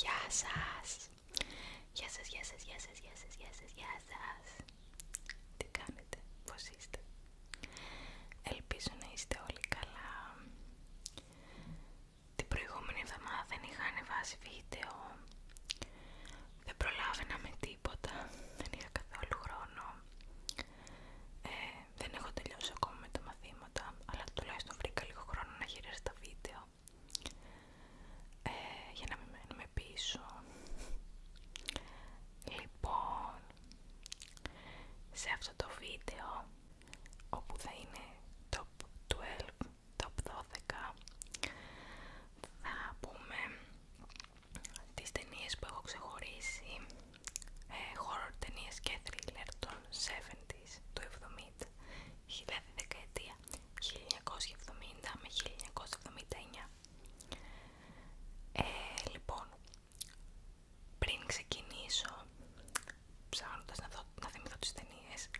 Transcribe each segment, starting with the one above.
Γεια σας! Γεια σας, γεια σας, γεια σας, γεια σας, γεια σας, Τι κάνετε, πώς είστε? Ελπίζω να είστε όλοι καλά. Την προηγούμενη εβδομάδα δεν είχα ανεβάσει βίντεο δεν προλάβαινα με τίποτα, δεν είχα καθόλου χρόνο. Ε, δεν έχω τελειώσει ακόμα με τα μαθήματα, αλλά τουλάχιστον βρήκα λίγο χρόνο να γυρίσω τα βίντεο ε, για να μην μένουμε πίσω. Λοιπόν, σε αυτό το βίντεο, όπου θα είναι top 12, top 12, θα πούμε τις ταινίες που έχω ξεχωρίσει ε, horror ταινίες και thriller των 70's του 70 δηλαδή δεκαετία 1970 με 1979 ε, λοιπόν πριν ξεκινήσω ψάχνοντας να, δω, να θυμηθώ τις ταινίες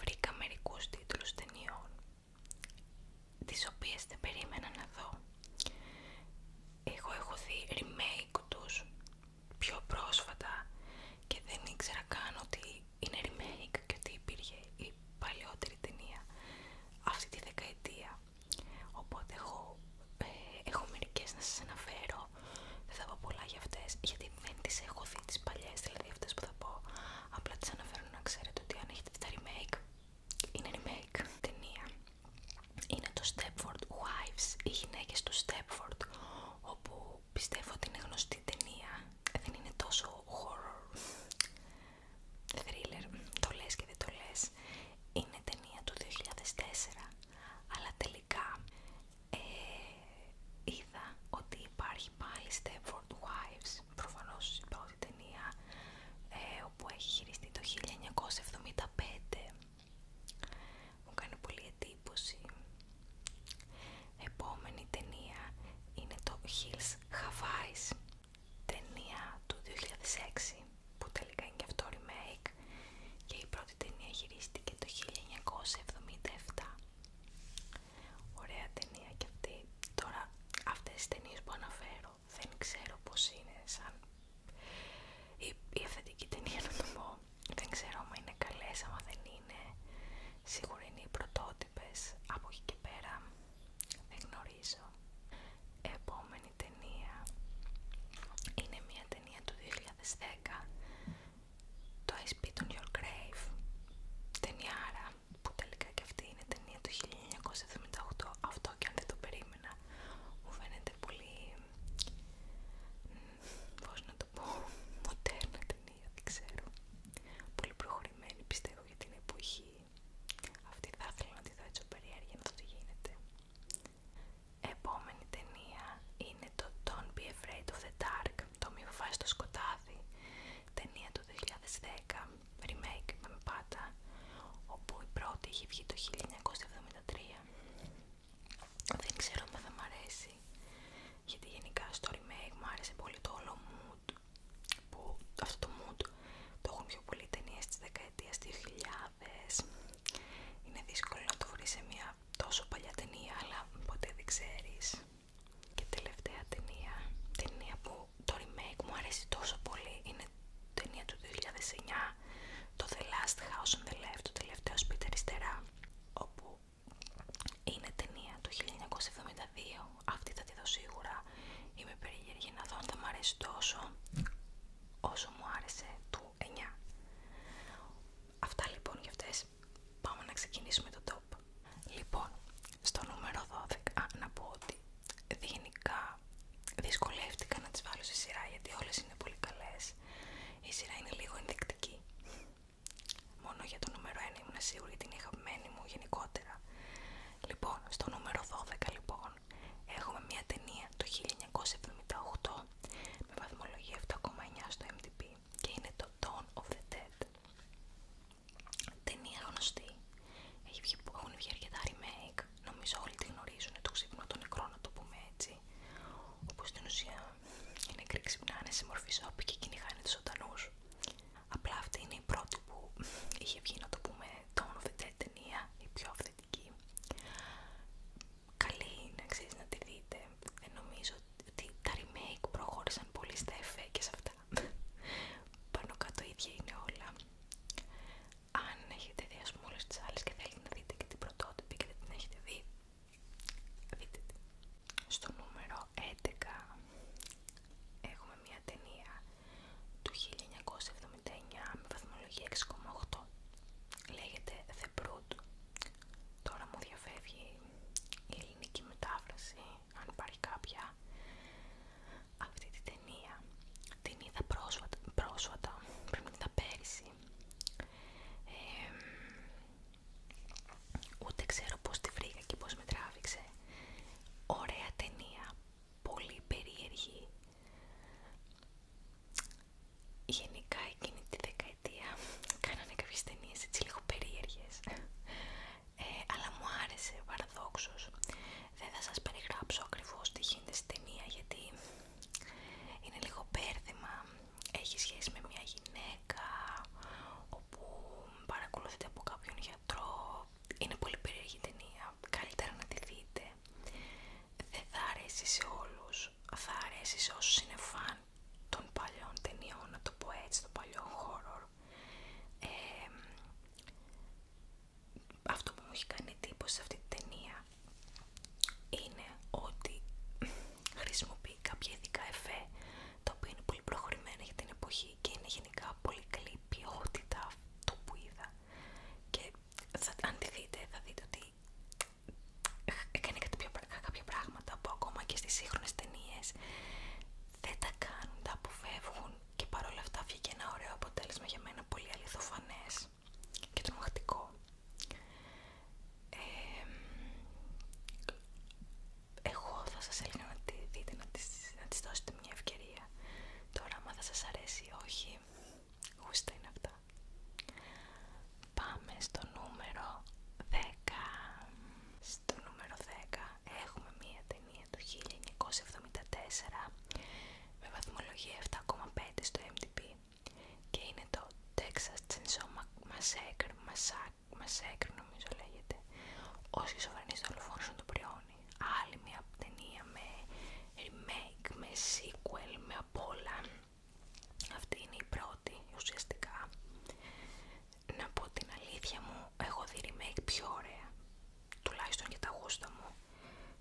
βρήκα μερικούς τίτλους ταινιών τις οποίες δεν περίμενα να δω. Εγώ έχω δει remake τους πιο πρόσφατα και δεν ήξερα καν ότι είναι remake και ότι υπήρχε η παλιότερη ταινία αυτή τη δεκαετία. Οπότε ε, έχω, μερικέ μερικές να σας αναφέρω, δεν θα πω πολλά για αυτές γιατί δεν τις έχω δει τις παλιές, δηλαδή αυτές που θα πω. Απλά τις αναφέρω να ξέρετε ότι αν έχετε τα remake είναι remake ταινία είναι το Stepford Wives οι γυναίκες του Stepford όπου πιστεύω ότι είναι γνωστή ταινία δεν είναι τόσο horror thriller το λες και δεν το λες είναι ταινία του 2004 αλλά τελικά ε, είδα ότι υπάρχει έχει πάει Stepford Wives, προφανώς η πρώτη ταινία ε, όπου έχει χειριστεί το 1975. Μου κάνει πολύ εντύπωση. Επόμενη ταινία είναι το Hills Havais, ταινία του 2006 που τελικά είναι και αυτό remake και η πρώτη ταινία χειρίστηκε το 1977. Ωραία ταινία και αυτή. Τώρα αυτές τις ταινίες που αναφέρω δεν ξέρω πως είναι σαν η, η αυθεντική ταινία να Δεν ξέρω αν είναι καλές, αν δεν είναι. Σίγουρα είναι οι πρωτότυπες. Από εκεί και πέρα δεν γνωρίζω. Επόμενη ταινία είναι μια ταινία του 2010 το I Spit on Your Grave Άρα που τελικά και αυτή είναι ταινία του 1978 αυτό και αν δεν το περίμενα μου φαίνεται πολύ πώς να το πω μοντέρνα ταινία δεν ξέρω πολύ προχωρημένη πιστεύω για την εποχή αυτή θα ήθελα να τη δω έτσι περιέργεια να το τι γίνεται επόμενη ταινία είναι το Don't Be Afraid of the Dark το μη φοβάσαι το σκοτάδι ταινία του 2010 remake με πάντα όπου η πρώτη είχε βγει το 1973 δεν ξέρω αν δεν μ' αρέσει γιατί γενικά στο remake μου άρεσε πολύ το όλο mood που αυτό το mood το έχουν πιο πολλοί ταινίες της του 2000 είναι δύσκολο να το βρεις σε μια τόσο παλιά ταινία αλλά ποτέ δεν ξέρεις και τελευταία ταινία, ταινία που το remake μου αρέσει τόσο πολύ, είναι ταινία του 2009, το The Last House on the Left, το τελευταίο σπίτι αριστερά, όπου είναι ταινία του 1972, αυτή θα τη δω σίγουρα, είμαι περίεργη να δω αν θα μου αρέσει τόσο όσο μου άρεσε του 9. Αυτά λοιπόν για αυτές, πάμε να ξεκινήσουμε το top. Λοιπόν, στο νούμερο 12, να πω ότι γενικά δυσκολεύτηκα να τις βάλω σε σειρά γιατί όλες είναι πολύ καλές. Η σειρά είναι λίγο ενδεικτική. Μόνο για το νούμερο 1 ήμουν σίγουρη την είχα μου γενικότερα. Λοιπόν, στο νούμερο 12 λοιπόν έχουμε μια ταινία το 1978 με βαθμολογία 7,9 στο MTP και είναι το Dawn of the Dead ταινία γνωστή. Έχει βγει, έχουν βγει αρκετά remake. Νομίζω όλοι τη γνωρίζουν. Το ξύπνο των νεκρών, να το πούμε έτσι. Όπου στην ουσία οι νεκροί ξυπνάνε σε μορφή σόπη και κυνηγάνε του ζωντανού. Απλά αυτή είναι η πρώτη που είχε βγει, να το πούμε, Dawn ταινία, η πιο αυθεντική. Καλή είναι, ξέρει να τη δείτε. Δεν νομίζω ότι τα remake προχώρησαν πολύ στα εφέ και σε αυτά πάνω κάτω ίδια είναι όλα αν έχετε δει ας πούμε όλες τις άλλες και θέλετε να δείτε και την πρωτότυπη και δεν την έχετε δει δείτε τη στο νούμερο 11 έχουμε μια ταινία του 1979 με βαθμολογία 6,8 λέγεται The Brood τώρα μου διαφεύγει η ελληνική μετάφραση αν πάρει κάποια, αυτή την ταινία. Την είδα πρόσφατα, πρέπει να είδα πέρυσι. ούτε ξέρω πώς τη βρήκα και πώς με τράβηξε. Ωραία ταινία, πολύ περίεργη. Γενικά εκείνη τη δεκαετία κάνανε κάποιες ταινίες έτσι λίγο περίεργες. Ε, αλλά μου άρεσε παραδόξως. Δεν θα σας περιγράψω ακριβώς τι γίνεται στην ταινία γιατί είναι λίγο μπέρδεμα. Έχει σχέση με μια γυναίκα όπου παρακολουθείται από κάποιον γιατρό. Είναι πολύ περίεργη ταινία. Καλύτερα να τη δείτε. Δεν θα αρέσει σε όλους. Θα αρέσει σε όσους είναι φαν των παλιών ταινιών, να το πω έτσι, των παλιών horror αυτό που μου έχει κάνει εντύπωση σε αυτή την ταινία είναι ότι χρησιμοποιεί κάποια ειδικά εφέ τα οποία είναι πολύ προχωρημένα για την εποχή και είναι γενικά πολύ καλή ποιότητα αυτό που είδα και αν τη δείτε θα δείτε ότι έκανε κάποια πράγματα τα που ακόμα και στις σύγχρονες ταινίε δεν τα κάνουν, τα αποφεύγουν και παρόλα αυτά βγήκε ένα ωραίο αποτέλεσμα για μένα πολύ αληθοφανές και τρομακτικό. Ε, εγώ θα σας έλεγα να τη δείτε, να της, να της δώσετε μια ευκαιρία. Τώρα, άμα θα σας αρέσει ή όχι, γούστα είναι αυτά. Πάμε στο νούμερο 10 στο νούμερο 10 έχουμε μία ταινία του 1974 με βαθμολογία 7,5 στο MDP και είναι το Texas Chainsaw Massacre, Massacre νομίζω λέγεται, ο σχισοφρενής δολοφόνος του πριόνι. Άλλη μία ταινία με remake, με sequel, με απ' Αυτή είναι η πρώτη ουσιαστικά να πω την αλήθεια μου, εγώ δει remake πιο ωραία, τουλάχιστον για τα γούστα μου.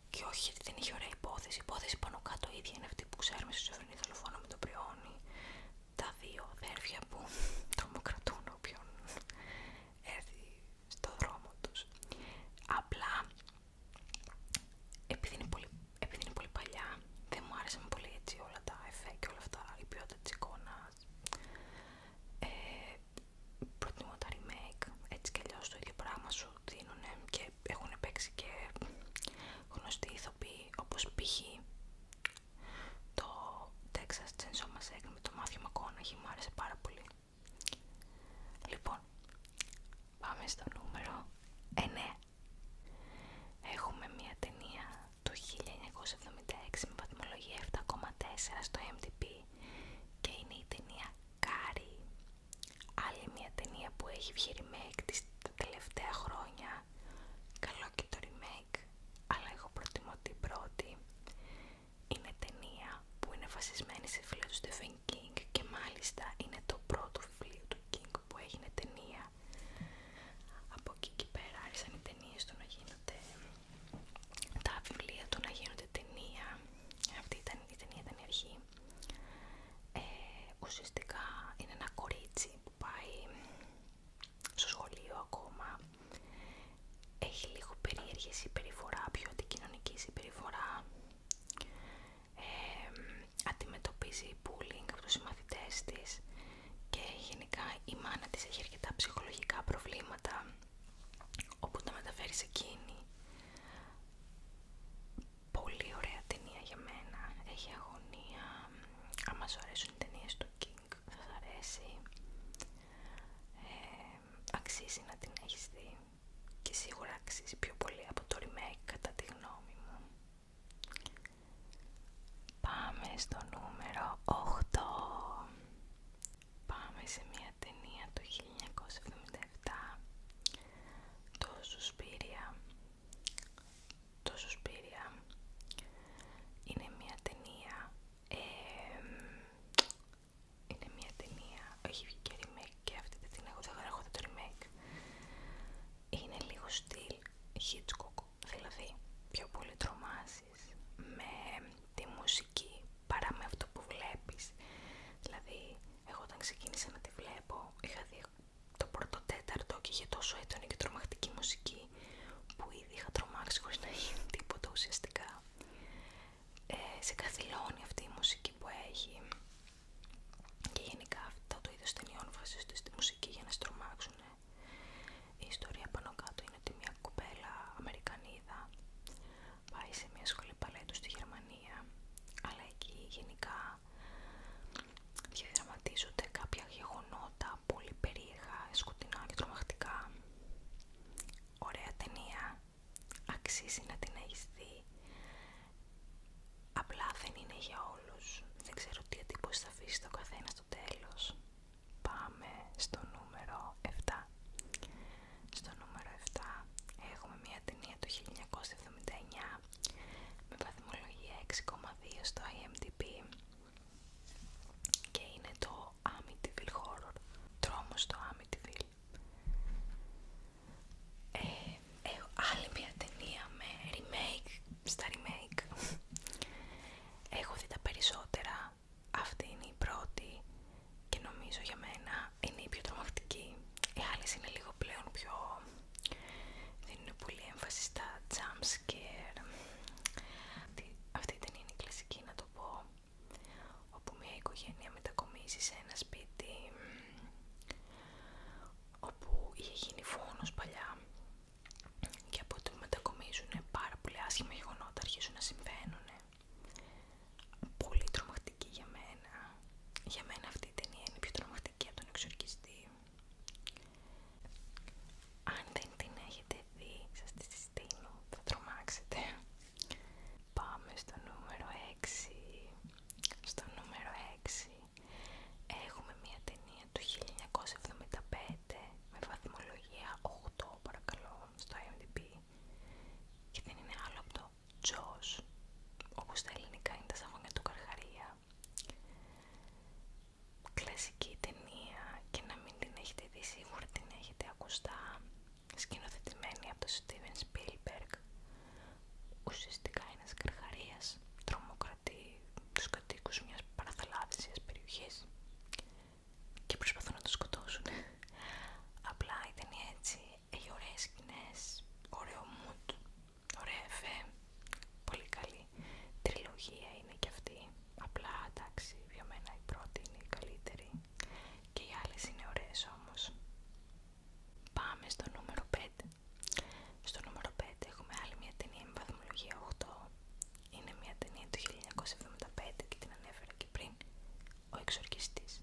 Και όχι, δεν είχε ωραία υπόθεση. υπόθεση πάνω κάτω ίδια είναι αυτή που ξέρουμε στο Σοφρενή με τον Πριόνι. Τα δύο δέρφια που τρομοκρατούν όποιον έρθει στο δρόμο τους. Απλά, επειδή είναι πολύ, επειδή είναι πολύ παλιά, δεν μου άρεσαν πολύ έτσι όλα τα εφέ και όλα αυτά. Η προϊόντα της εικόνας ε, προτιμώ τα remake έτσι κι αλλιώς το ίδιο πράγμα σου δίνουν και έχουν παίξει και γνωστοί ηθοποιοί όπως π.χ. το Texas Chainsaw Massacre με το μάθημα Μακόναχη μου άρεσε πάρα πολύ λοιπόν πάμε στο νούμερο 9 Έχουμε μια ταινία του 1976 με βαθμολογία 7,4 στο MDP και είναι η ταινία Κάρι. Άλλη μια ταινία που έχει βγει remake της τα τελευταία χρόνια. Καλό και το remake, αλλά εγώ προτιμώ την πρώτη. Είναι ταινία που είναι βασισμένη σε φιλό του Stephen King και μάλιστα είναι το πρώτο βιβλίο του King που έγινε ταινία. Από εκεί και πέρα άρχισαν οι ταινίε του να γίνονται τα βιβλία του να γίνονται ταινία. Αυτή ήταν, η ταινία ήταν η αρχή. Ε, ουσιαστικά είναι ένα κορίτσι που πάει στο σχολείο ακόμα. Έχει λίγο περίεργη συμπεριφορά, πιο αντικοινωνική συμπεριφορά. Ε, αντιμετωπίζει bullying από τους συμμαθητές της και γενικά η μάνα της έχει αρκετά ψυχολογικά προβλήματα όπου τα μεταφέρει σε εκείνη. Πολύ ωραία ταινία για μένα. Έχει αγωνία. Άμα σου αρέσουν οι ταινίες του King θα ε, αξίζει να την έχεις δει και σίγουρα αξίζει πιο πολύ από το remake κατά τη γνώμη μου. Πάμε στο νούμερο 8. Πάμε σε μια ταινία του 1977. Το Σουσπίρια. Το Σουσπίρια είναι μια ταινία. είναι μια ταινία. Όχι, βγήκε remake και αυτή την έχω. Δεν έχω το remake είναι λίγο στυλ Hitchcock, δηλαδή πιο πολύ τρομάσεις με τη μουσική παρά με αυτό που βλέπεις. Δηλαδή, εγώ όταν ξεκίνησα να τη βλέπω, είχα δει το πρώτο τέταρτο και είχε τόσο έντονη και τρομακτική μουσική που ήδη είχα τρομάξει χωρίς να γίνει τίποτα ουσιαστικά. Ε, σε καθυλώνει αυτή η μουσική που έχει και γενικά αυτά το είδος ταινιών βασίζονται στη μουσική για να στρομάξουν. Η ιστορία πάνω κάτω είναι ότι μια κοπέλα Αμερικανίδα πάει σε μια σχολή παλέτου στη Γερμανία αλλά εκεί γενικά διαδραματίζονται κάποια γεγονότα πολύ περίεχα, σκοτεινά και τρομακτικά. Ωραία ταινία, αξίζει να την έχεις Απλά δεν είναι για όλους. Δεν ξέρω τι εντύπωση θα αφήσει το καθένα στο τέλος. Πάμε στο νούμερο 7. Στο νούμερο 7 έχουμε μια ταινία του 1979 με βαθμολογία 6,2 στο IMDb και είναι το Amityville Horror. Τρόμος στο Amityville. Ε, έχω ε, άλλη μια ταινία με remake στα remake έχω δει τα περισσότερα αυτή είναι η πρώτη και νομίζω για μένα είναι η πιο τρομακτική οι άλλες είναι λίγο πλέον πιο δίνουν πολύ έμφαση στα jump scare αυτή, αυτή η είναι η κλασική να το πω όπου μια οικογένεια μετακομίζει σε ένα σπίτι όπου είχε γίνει φόνος παλιά και από ό,τι μετακομίζουν πάρα πολύ η γεγονότα αρχίζουν να συμβαίνουν. Πολύ τρομακτική για μένα. Για μένα αυτή η ταινία είναι πιο τρομακτική από τον εξορκιστή. Αν δεν την έχετε δει, σας τη συστήνω, θα τρομάξετε. Πάμε στο νούμερο 6. Στο νούμερο 6 Έχουμε μια ταινία του 1975 με βαθμολογία 8 παρακαλώ στο IMDb και δεν είναι άλλο από το Jaws όπως τα ελληνικά είναι τα σαγόνια του Καρχαρία κλασική ταινία και να μην την έχετε δει σίγουρα την έχετε ακουστά σκηνοθετημένη από τον Steven Spielberg ουσιαστικά είναι καρχαρίας τρομοκρατεί τους κατοίκους μιας παραθαλάσσιας περιοχής και προσπαθούν να τον σκοτώσουν. Απλά η έτσι έχει ωραίες σκηνές, ωραίο ωραία εφέ, πολύ καλή. Τριλογία είναι και αυτή, απλά εντάξει για μένα η πρώτη είναι η καλύτερη και οι άλλες είναι ωραίες όμως. Πάμε στο νούμερο 5 στο νούμερο 5 έχουμε άλλη μια ταινία με βαθμολογία 8. Είναι μια ταινία του 1975 και την ανέφερα και πριν. Ο Εξορκιστής.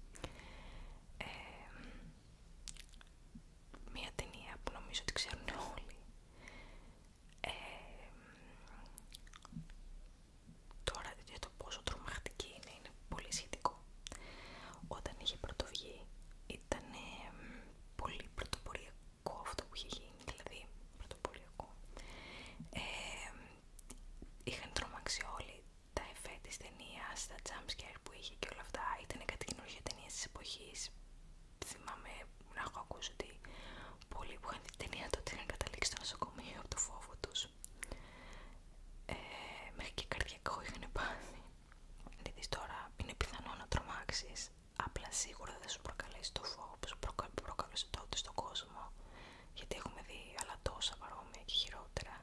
μια ταινία που νομίζω ότι ξέρουν όλοι. τώρα για το πόσο τρομακτική είναι, είναι πολύ σχετικό όταν είχε πρωτοβγεί ήταν πολύ πρωτοποριακό αυτό που είχε γίνει, δηλαδή πρωτοποριακό. Ε, είχαν τρομάξει όλοι τα εφέ της ταινίας, τα jumpscare που είχε και όλα αυτά. Ήταν κάτι καινούργια ταινία της εποχής. Θυμάμαι να έχω ακούσει ότι πολλοί που είχαν δει την ταινία τότε είχαν καταλήξει στο νοσοκομείο από το φόβο τους. Ε, μέχρι και καρδιακό είχαν πάθει. Γιατί τώρα είναι πιθανό να τρομάξεις, απλά σίγουρα δεν σου προκαλέσει το φόβο που σου προκαλούσε τότε στον κόσμο, γιατί έχουμε δει άλλα τόσα παρόμοια και χειρότερα.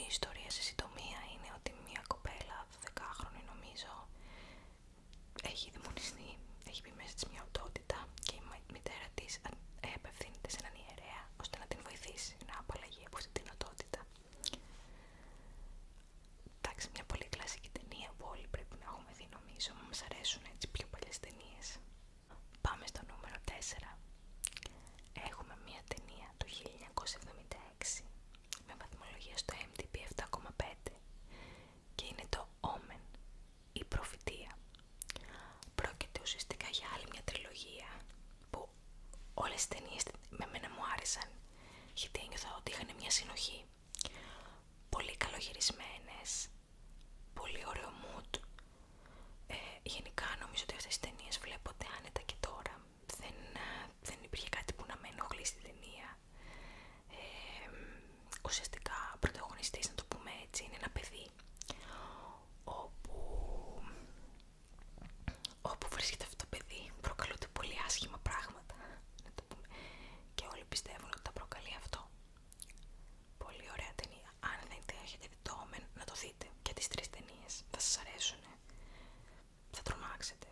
Η ιστορία σε συντομία είναι ότι μια κοπέλα 12χρονη νομίζω έχει δαιμονιστεί, έχει πει μέσα της μια οντότητα και η μητέρα της απευθύνεται σε έναν ιερέα ώστε να την βοηθήσει να απαλλαγεί από αυτή την δυνατότητα. Εντάξει, μια πολύ κλασική ταινία που όλοι πρέπει να έχουμε δει νομίζω, μα αρέσουν έτσι πιο πολλέ ταινίες. Πάμε στο νούμερο 4. Έχουμε μια ταινία του 1976 με βαθμολογία στο MDB 7,5 και είναι το Omen, η προφητεία. Πρόκειται ουσιαστικά για άλλη μια τριλογία όλες τις ταινίες με μένα μου άρεσαν γιατί ένιωθα ότι είχαν μια συνοχή πολύ καλογυρισμένες πολύ ωραίο mood ε, γενικά νομίζω ότι αυτές οι ταινίες βλέπονται άνετα και τώρα δεν, δεν υπήρχε κάτι που να με ενοχλεί στην ταινία ουσιαστικά πρωταγωνιστής να το πούμε έτσι είναι ένα παιδί όπου όπου βρίσκεται αυτό το παιδί προκαλούνται πολύ άσχημα πράγματα να το πούμε. και όλοι πιστεύουν ότι τα προκαλεί αυτό πολύ ωραία ταινία αν δεν έχετε δει το να το δείτε και τις τρεις ταινίε. θα σας αρέσουν θα τρομάξετε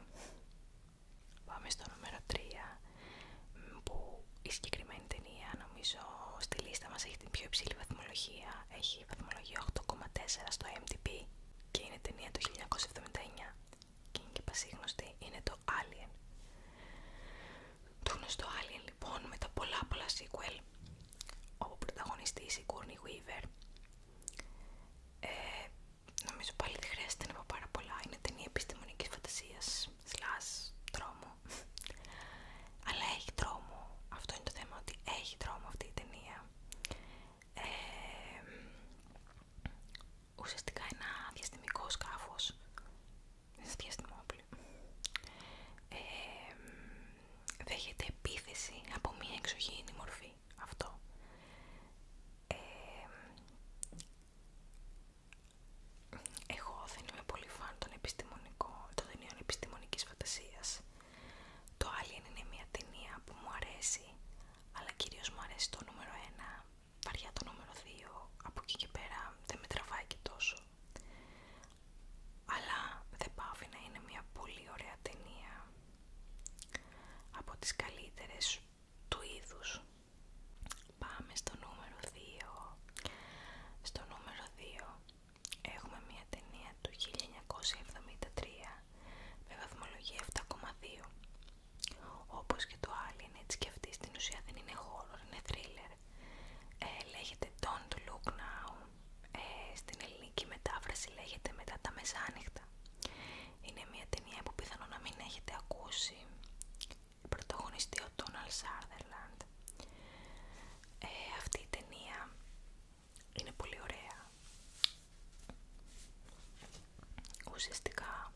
πάμε στο νούμερο 3 που η συγκεκριμένη ταινία νομίζω στη λίστα μας έχει την πιο υψηλή βαθμολογία έχει έχει 8,4 στο MDB και είναι ταινία του 1979 και είναι και πασίγνωστη, είναι το Alien. Το γνωστό Alien λοιπόν με τα πολλά πολλά sequel όπου πρωταγωνιστή η Courtney Weaver ε, νομίζω πάλι δεν χρειάζεται να πω πάρα πολλά είναι ταινία επιστημονικής φαντασίας slash τρόμου αλλά έχει τρόμο, αυτό είναι το θέμα ότι έχει τρόμο αυτή η ταινία ε, ουσιαστικά ένα διαστημικό σκάφος διαστημόπλη ε, δέχεται επίθεση από μια εξωγήινη μορφή αυτό ε, εγώ δεν είμαι πολύ φαν των επιστημονικών, των ταινιών επιστημονικής φαντασίας το Alien είναι μια ταινία που μου αρέσει, αλλά κυρίως μου αρέσει το νούμερο 1, βαριά το νούμερο 2, από εκεί και πέρα δεν με τραβάει και τόσο. Αλλά δεν πάβει να είναι μια πολύ ωραία ταινία, από τις καλύτερες του είδους. Πάμε στο νούμερο 2. Στο νούμερο 2 Έχουμε μια ταινία του 1973 με βαθμολογία 7,2. Όπως και το Alien, έτσι και αυτή στην ουσία δεν είναι horror, είναι thriller. Ε, λέγεται Don't Look Now. Ε, στην ελληνική μετάφραση λέγεται Μετά τα Μεσάνυχτα. Είναι μια ταινία που πιθανόν να μην έχετε ακούσει. Πρωταγωνιστεί ο Donald Sutherland. Ε, αυτή η ταινία είναι πολύ ωραία. Ουσιαστικά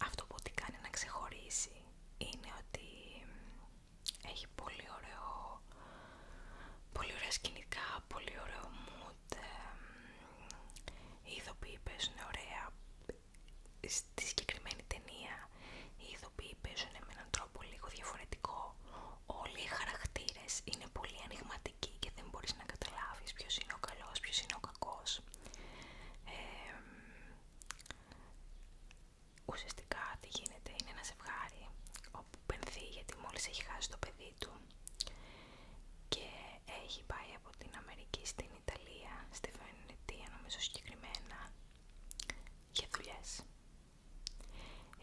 αυτό που την κάνει να ξεχωρίσει είναι ότι έχει πολύ ωραίο, πολύ ωραία σκηνικά, πολύ ωραίο mood, ε, οι ηθοποιοί παίζουν ωραία. Στη συγκεκριμένη ταινία οι ηθοποιοί παίζουν με έναν τρόπο λίγο διαφορετικό. Όλοι οι χαρακτήρες είναι πολύ ανοιγματικοί και δεν μπορείς να καταλάβεις ποιος είναι ο καλός, ποιος είναι ο κακός. ουσιαστικά τι γίνεται, είναι ένα ζευγάρι όπου πενθεί γιατί μόλις έχει χάσει το παιδί του και έχει πάει από την Αμερική στην Ιταλία, στη Βενετία νομίζω συγκεκριμένα, για δουλειές.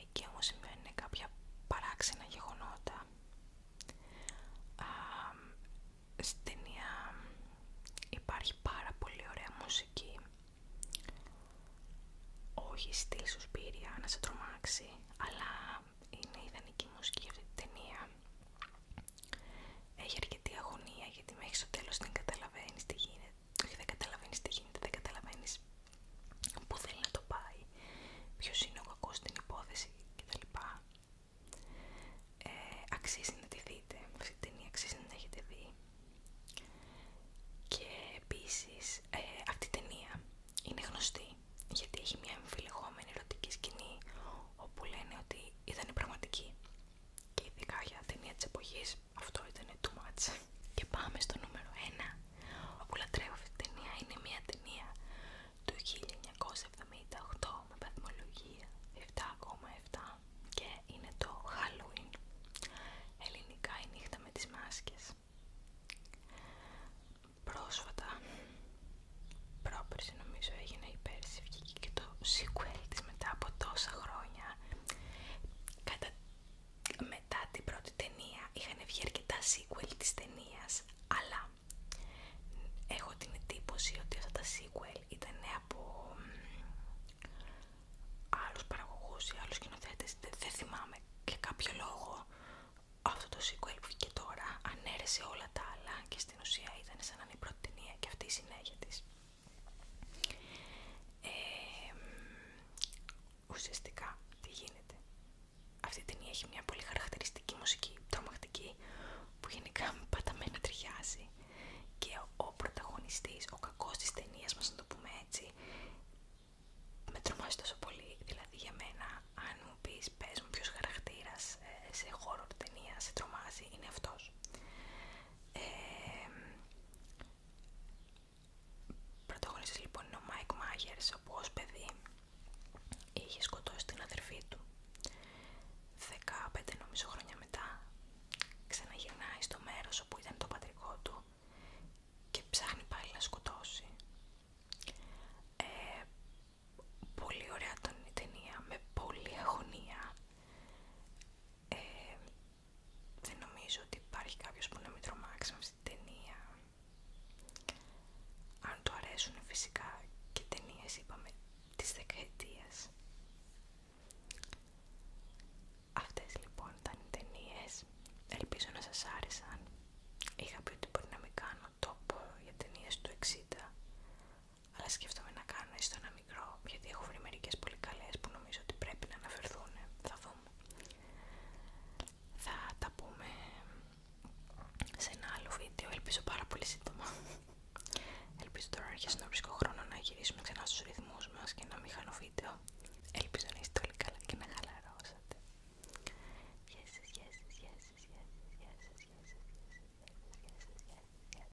Εκεί όμως σημαίνουν κάποια παράξενα γεγονότα. στην ταινία υπάρχει πάρα πολύ ωραία μουσική. Όχι στυλ σου να σε τρομάξει, αλλά είναι ιδανική μουσική για αυτή την ταινία. Έχει αρκετή αγωνία γιατί μέχρι στο τέλος δεν καταλαβαίνεις τι γίνεται δεν καταλαβαίνει τι γίνεται, δεν καταλαβαίνει πού θέλει να το πάει, ποιο είναι ο κακό στην υπόθεση κτλ. Ε, αξίζει να τη δείτε, αυτή την ταινία αξίζει να την έχετε δει. Και επίση ε, αυτή η ταινία είναι γνωστή γιατί έχει μια εμφυλεγόμενη ερωτική σκηνή όπου λένε ότι ήταν πραγματική και ειδικά για ταινία τη εποχή αυτό ήταν τού μάτσα. Και πάμε στο νούμερο 1. που λατρεύω αυτή την ταινία είναι μια ταινία του 1978 με βαθμολογία 7,7 και είναι το Halloween. Ελληνικά η νύχτα με τις μάσκες. Πρόσφατα, πρόπερση νομίζω έγινε η πέρσι, βγήκε και το sequel της μετά από τόσα χρόνια Κατά... Μετά την πρώτη ταινία είχαν βγει αρκετά sequel της ταινία, αλλά έχω την εντύπωση ότι αυτά τα sequel ήταν από άλλους παραγωγούς ή άλλους σκηνοθέτες, δεν θυμάμαι και κάποιο λόγο αυτό το sequel που βγήκε τώρα ανέρεσε όλα τα άλλα και στην ουσία ήταν σαν να είναι η πρώτη ταινία και αυτή η συνέχεια της ουσιαστικά τι γίνεται. Αυτή η ταινία έχει μια πολύ χαρακτηριστική μουσική, τρομακτική, που γενικά παταμένα με και ο πρωταγωνιστής, ο κακός τη ταινίας μας, να το πούμε έτσι, με τρομάζει τόσο πολύ. Δηλαδή για μένα, αν μου πεις πες μου ποιος χαρακτήρας ε, σε χώρο ταινία σε τρομάζει, είναι αυτός. Ε, λοιπόν είναι ο Μάικ Μάγερς, όπου ως παιδί είχε σκοτώσει την αδερφή του. 15 χρόνια μετά ξαναγυρνάει στο μέρος όπου ήταν το πατρικό του και ψάχνει πάλι να σκοτώσει. Ε, πολύ ωραία ήταν η ταινία, με πολλή αγωνία. Ε, δεν νομίζω ότι υπάρχει κάποιος που να μην τρομάξει αυτή την ταινία. Αν του αρέσουν φυσικά και ταινίε είπαμε της δεκαετίας. Αυτές λοιπόν ήταν οι ταινίε. Ελπίζω να σας άρεσαν. Είχα πει ότι μπορεί να μην κάνω τόπο για ταινίε του 60 αλλά σκέφτομαι να κάνω έστω ένα μικρό, γιατί έχω βρει μερικέ πολύ καλέ που νομίζω ότι πρέπει να αναφερθούν. Θα δούμε. Θα τα πούμε σε ένα άλλο βίντεο, ελπίζω πάρα πολύ σύντομα. Ελπίζω τώρα να αρχίσει να βρίσκω χρόνο να γυρίσουμε ξανά στους ρυθμούς μας και να μην χάνω βίντεο. Ελπίζω να είστε όλοι καλά και να χαλαρώσατε. Yes, yes, yes, yes, yes, yes, yes,